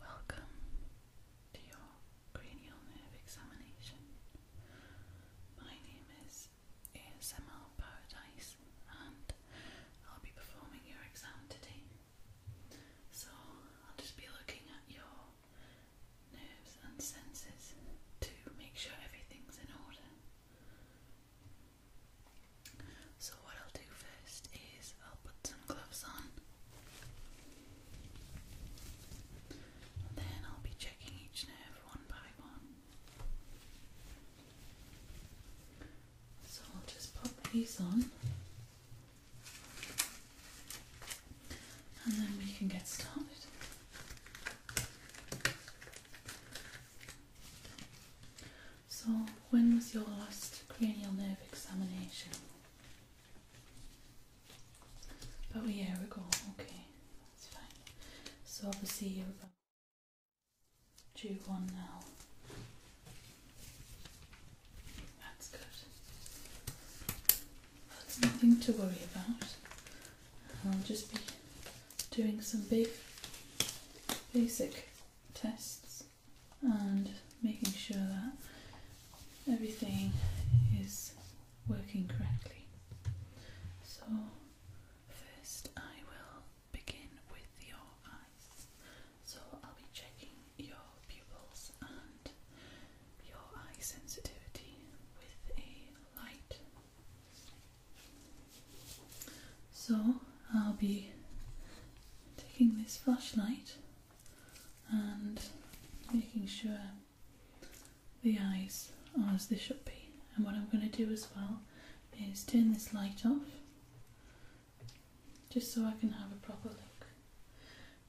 Welcome to your cranial nerve examination. My name is ASMR Paradise and I'll be performing your exam today. So I'll just be looking at your nerves and senses to make sure everything's in order. So, what I'll do first is I'll put some gloves on, then I'll be checking each nerve one by one. So, I'll just pop these on, and then we can get started. So, when was your last cranial nerve examination? About a year ago, okay, that's fine. So, obviously, you're about due one now. That's good. That's nothing to worry about. I'll just be doing some big basic tests and making sure that everything is working correctly. So, first I will begin with your eyes. So, I'll be checking your pupils and your eye sensitivity with a light. So I'll be taking this flashlight and making sure the eyes are as they should be. And what I'm going to do as well is turn this light off just so I can have a proper look.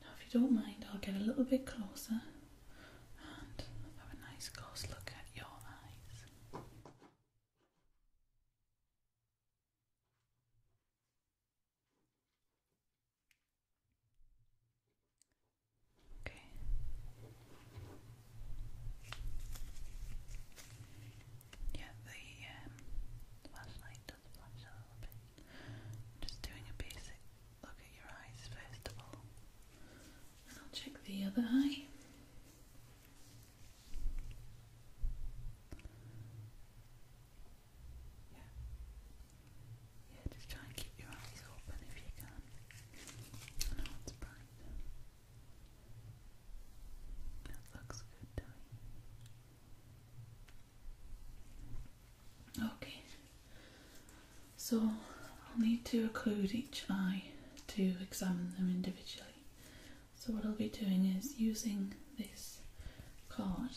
Now if you don't mind I'll get a little bit closer and have a nice close look at your eyes. Okay. Yeah, the flashlight um, does flash a little bit. just doing a basic look at your eyes first of all, I'll check the other eye. Yeah. Yeah, just try and keep your eyes open if you can. I know it's That looks good to Okay. So I'll need to occlude each eye to examine them individually. So what I'll be doing is using this card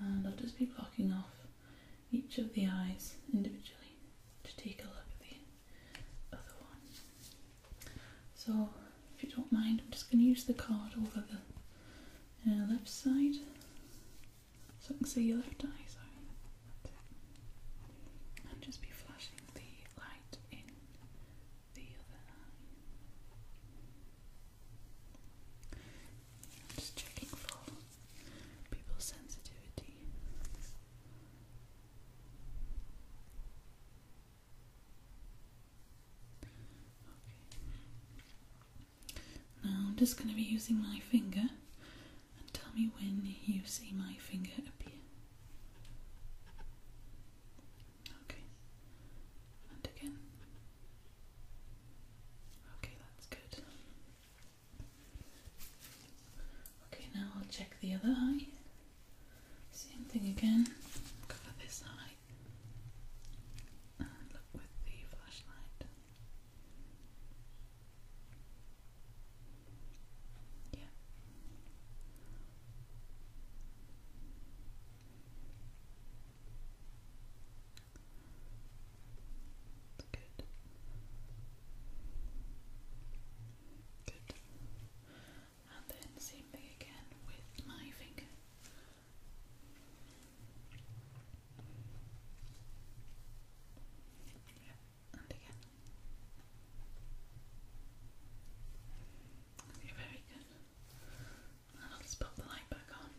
and I'll just be blocking off each of the eyes individually to take a look at the other one. So if you don't mind I'm just going to use the card over the uh, left side so I can see your left eye. Sorry. And just be flashing the light in just checking for people's sensitivity. Okay. Now I'm just going to be using my finger and tell me when you see my finger appear. Okay. And again. Okay, that's good. Okay, now I'll check the other eye. Same thing again. Cover this eye. And look with the flashlight. Yeah. Good. Good. And then same thing again with my finger. Yeah, and again very good. Now let's pop the light back on.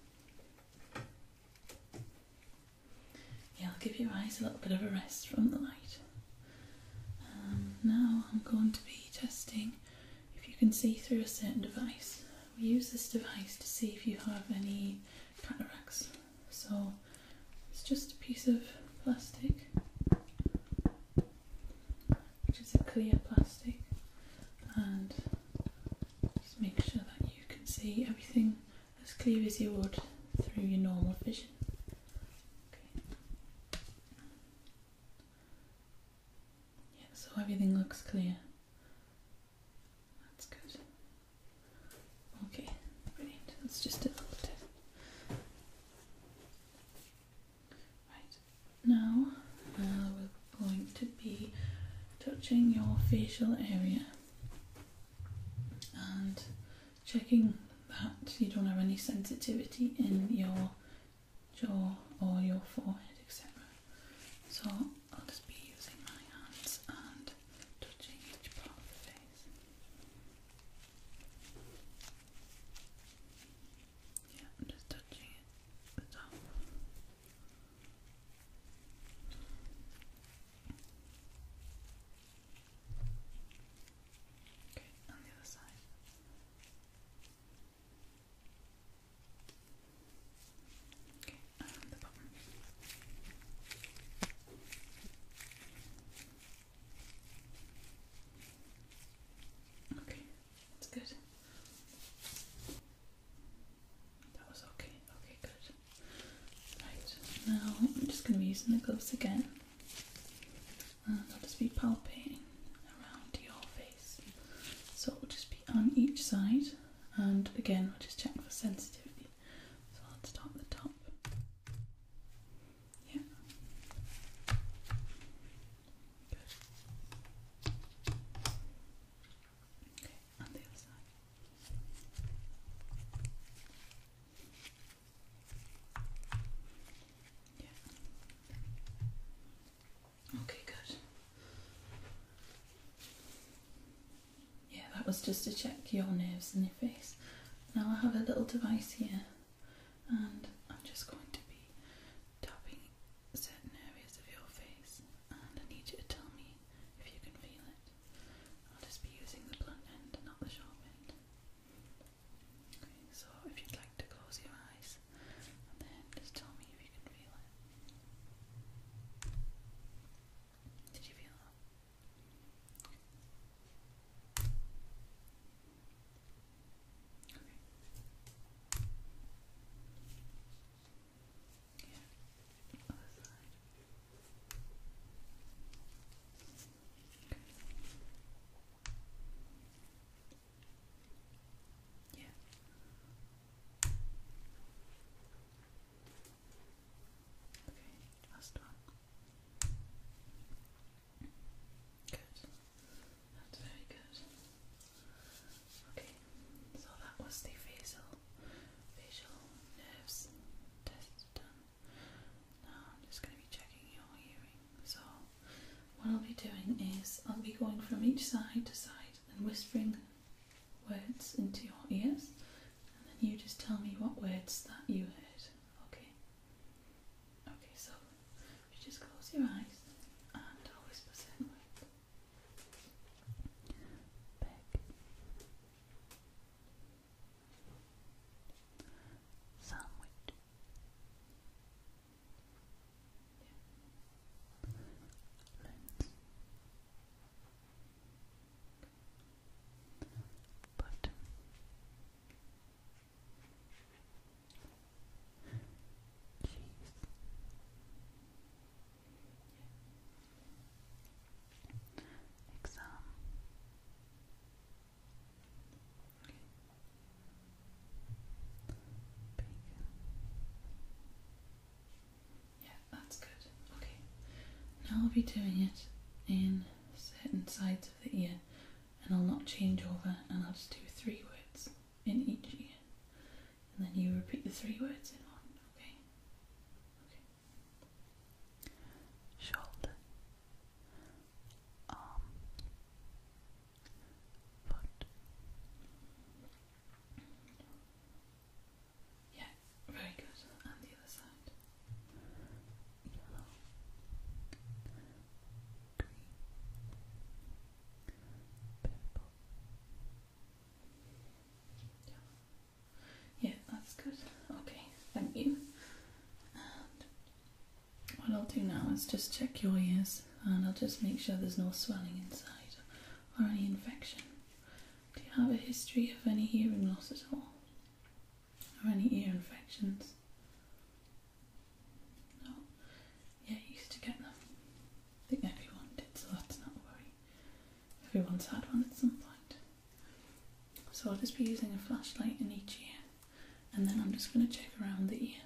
Yeah, I'll give your eyes a little bit of a rest from the light. Um, now I'm going to be testing if you can see through a certain device. We use this device to see if you have any cataracts. So it's just a piece of plastic which is a clear plastic and just make sure that you can see everything as clear as you would through your normal vision. Okay. Yeah, so everything looks clear. That's good. Okay, brilliant. That's just a little tip. Right, now uh, we're going to be touching your facial area and checking that you don't have any sensitivity in your jaw or your forehead, etc. So I'll just be using my hands and touching each part of the face. Yeah, I'm just touching it the top. Okay, on the other side. Okay, around um, the bottom. Okay, that's good. That was okay. Okay, good. Right, now I'm just going to be using the gloves again. I'll just be palpating around your face. So it will just be on each side, and again, we'll just check for sensitivity. So I'll start the top. Yeah. Good. Okay, on the other side. Yeah. Okay, good. Yeah, that was just to check your nerves in your face. Now I have a little device here and I'm just going to be tapping certain areas of your face and I need you to tell me if you can feel it. I'll just be using the blunt end and not the sharp end. Okay, so if you'd like to close your eyes then just tell me if you can feel it. Did you feel that? Okay. Yeah. Okay. last one. Good. That's very good. Okay, so that was the facial facial nerves test done. Now I'm just going to be checking your hearing. So what I'll be doing is I'll be going from each side to side and whispering words into your ears and then you just tell me what words that you heard. Okay. Okay, so just close your eyes and I'll whisper something Back. Sandwich. Yeah. Lens. Button. Exam. Yeah, that's good. Okay. Now I'll be doing it in certain sides of the ear and I'll not change over and I'll just do three words in each ear and then you repeat the three words in one, okay? Shoulder, arm, foot. Yeah, very good. And the other side yellow, green, purple. Yeah. that's good. Okay, thank you. what I'll do now is just check your ears and I'll just make sure there's no swelling inside or any infection. Do you have a history of any hearing loss at all? or any ear infections. No, yeah, you used to get them. I think everyone did, so that's not a worry. Everyone's had one at some point. So I'll just be using a flashlight in each ear, and then I'm just going to check around the ear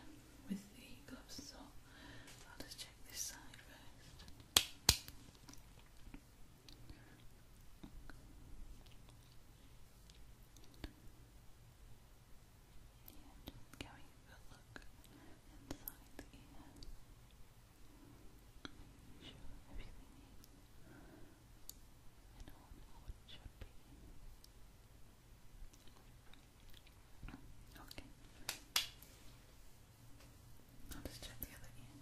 with the gloves. So I'll just check this side first. Yeah, just going a good look inside the ear. Making sure everything is in order what it should be. Okay. I'll just check the other ear.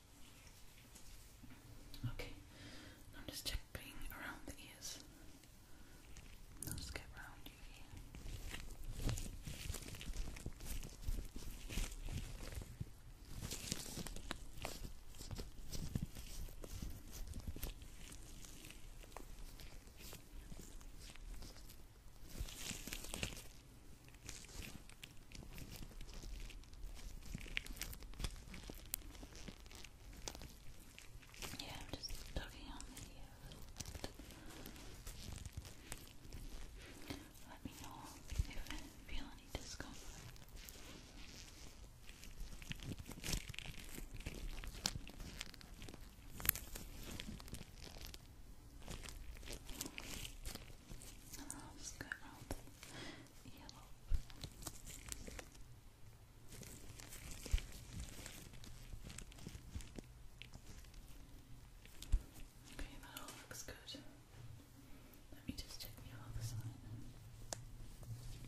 Okay, I'm just checking around the ears. I'll get round you here. Yeah, I'm just tugging on the uh, ear Let me know if I feel any discomfort. And then I'll just go around the yellow. Okay, that all looks good. Let me just check the other side. Okay,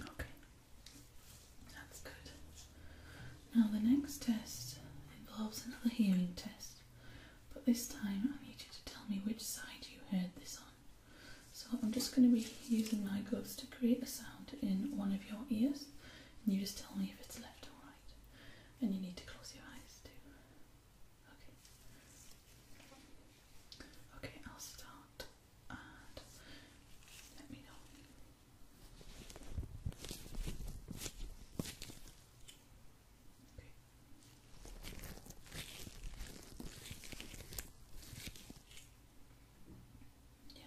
Okay, that's good. Now, the next test involves another hearing test, but this time I need you to tell me which side you heard this on. So, I'm just going to be using my gloves to create a sound in one of your ears, and you just tell me if it's left or right. And you need to close your eyes too. Okay. Okay, I'll start let me know. Okay. Yeah.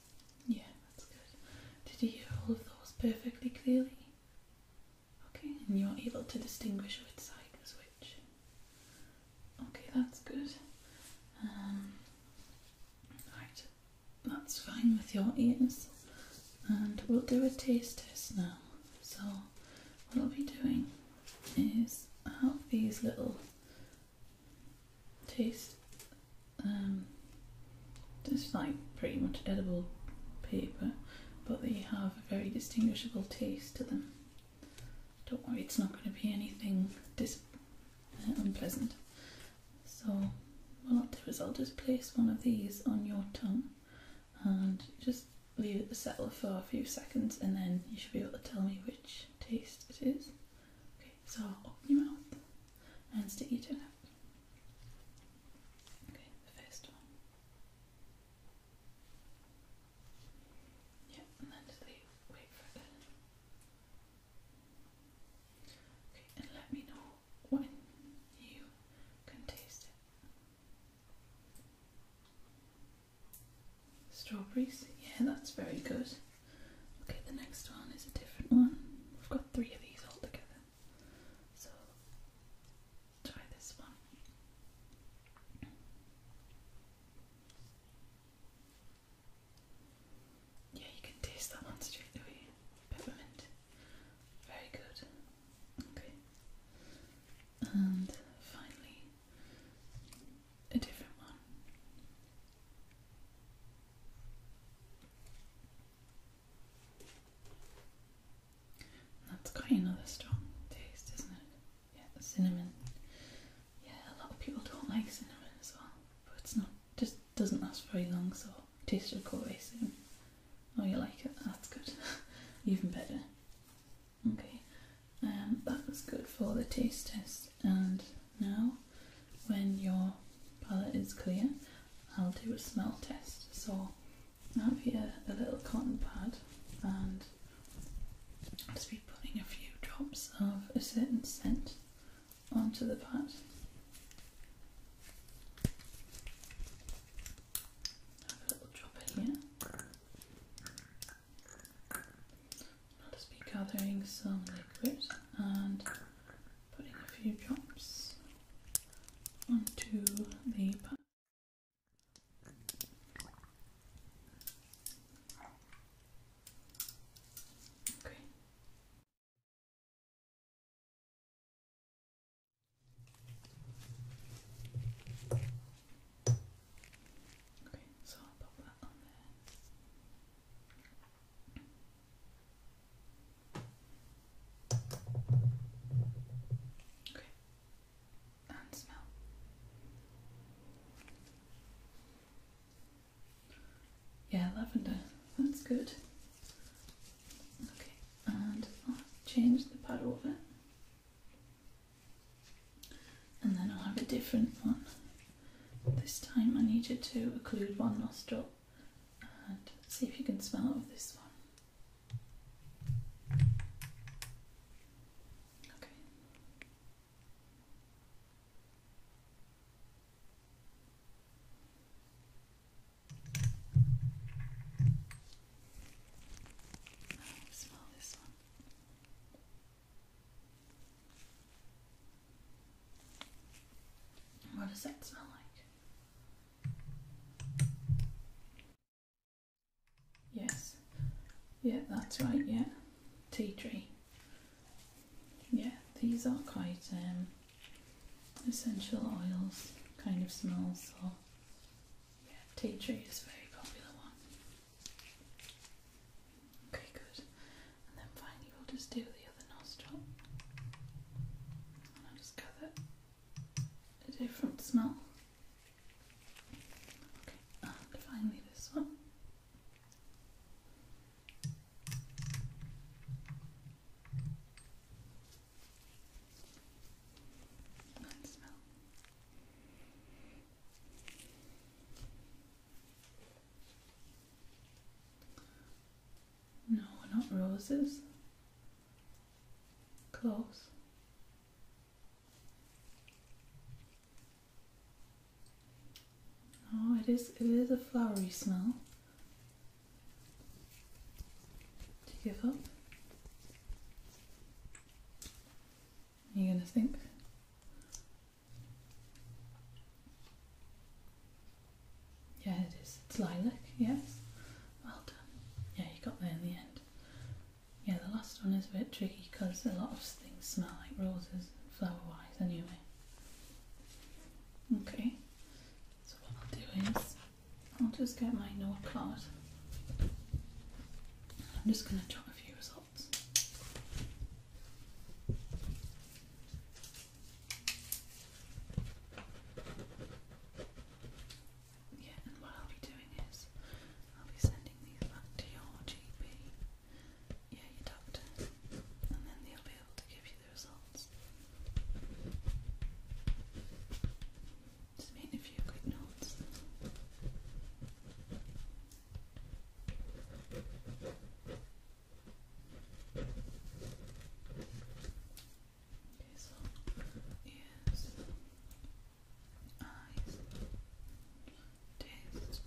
yeah, that's good. Did you hear all of those perfectly clearly? Okay, and you're able to distinguish which side was which. Okay, that's good. Um, right, that's fine with your ears. And we'll do a taste test now. So, what I'll be doing is I have these little taste um, just like pretty much edible paper but they have a very distinguishable taste to them don't worry it's not going to be anything dis uh, unpleasant so what I'll do is I'll just place one of these on your tongue and just leave it to settle for a few seconds and then you should be able to tell me which taste it is Okay, so open your mouth and stick your tongue out. Okay, the first one. Yeah, and then just leave. Wait for it. Okay, and let me know when you can taste it. Strawberries, yeah, that's very good. Okay, the next one is a different one. We've got three of these all together. So try this one. Yeah, you can taste that one straight away. Peppermint. Very good. Okay. And finally, a different one. That's has got another strong taste, isn't it? Yeah, cinnamon. Yeah, a lot of people don't like cinnamon as well, but it's not just doesn't last very long, so taste of go soon. Oh, you like it? That's good. Even better. Okay, and um, that was good for the taste test and now when your palette is clear I'll do a smell test so I have here a little cotton pad and I'll just be putting a few drops of a certain scent onto the pad have a little dropper here I'll just be gathering some liquid and putting a few drops onto the pan. Okay. Okay, so I'll pop that on there. Okay. And smell. Yeah, lavender. That's good. Okay, and I'll change the of it, And then I'll have a different one. This time I need you to occlude one nostril and see if you can smell this one. Okay. smell this one. What does that smell like? Yes. Yeah, that's right, yeah. Tea tree. Yeah, these are quite um, essential oils kind of smells, so yeah, tea tree is a very popular one. Okay, good. And then finally, we'll just do the other nostril. I'll just gather a different smell. Okay, and finally, this one. That smell. No, not roses. Close. Oh, it is it is a flowery smell. Do give up? you gonna think yeah, it is. It's lilac, yes. Well done. Yeah, you got there in the end. Yeah, the last one is a bit tricky because a lot of things smell like roses, flower wise, anyway. Okay, so what I'll do is I'll just get my notepad. I'm just going to jot a few results. Yeah, and what I'll be doing is I'll be sending these back to your GP, yeah, your doctor, and then they'll be able to give you the results. Just a few quick notes. So, is eyes, uh, uh, taste,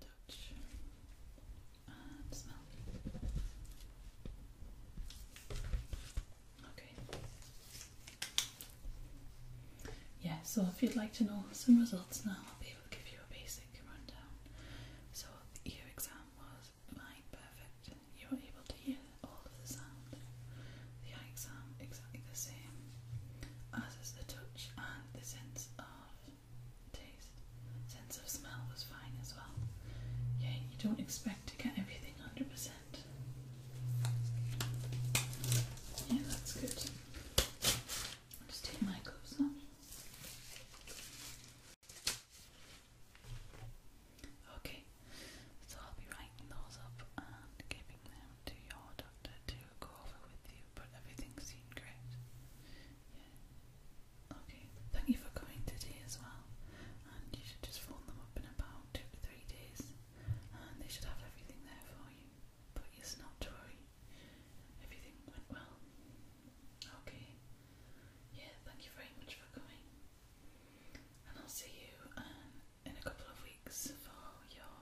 touch, and smell. Okay, yeah, so if you'd like to know some results now, I'll be able to give you a basic rundown. So the ear exam was fine, perfect. You were able to hear all of the sound. The eye exam exactly the same, as is the touch and the sense of taste. Sense of smell was fine as well. Yeah, you don't expect to get everything hundred percent. Yeah, that's good. Just take my gloves off. Okay, so I'll be writing those up and giving them to your doctor to go over with you, but everything seemed great. Yeah. Okay, thank you for coming today as well. And you should just phone them up in about two to three days, and they should have everything there for you. But yes, not worry. Everything went well. Okay. Yeah, thank you very much for coming. And I'll see you um, in a couple of weeks for your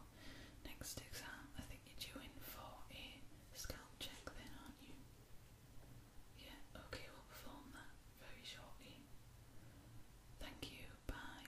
next exam. I think you're due in for a scalp check then, aren't you? Yeah, okay, we'll perform that very shortly. Thank you, bye.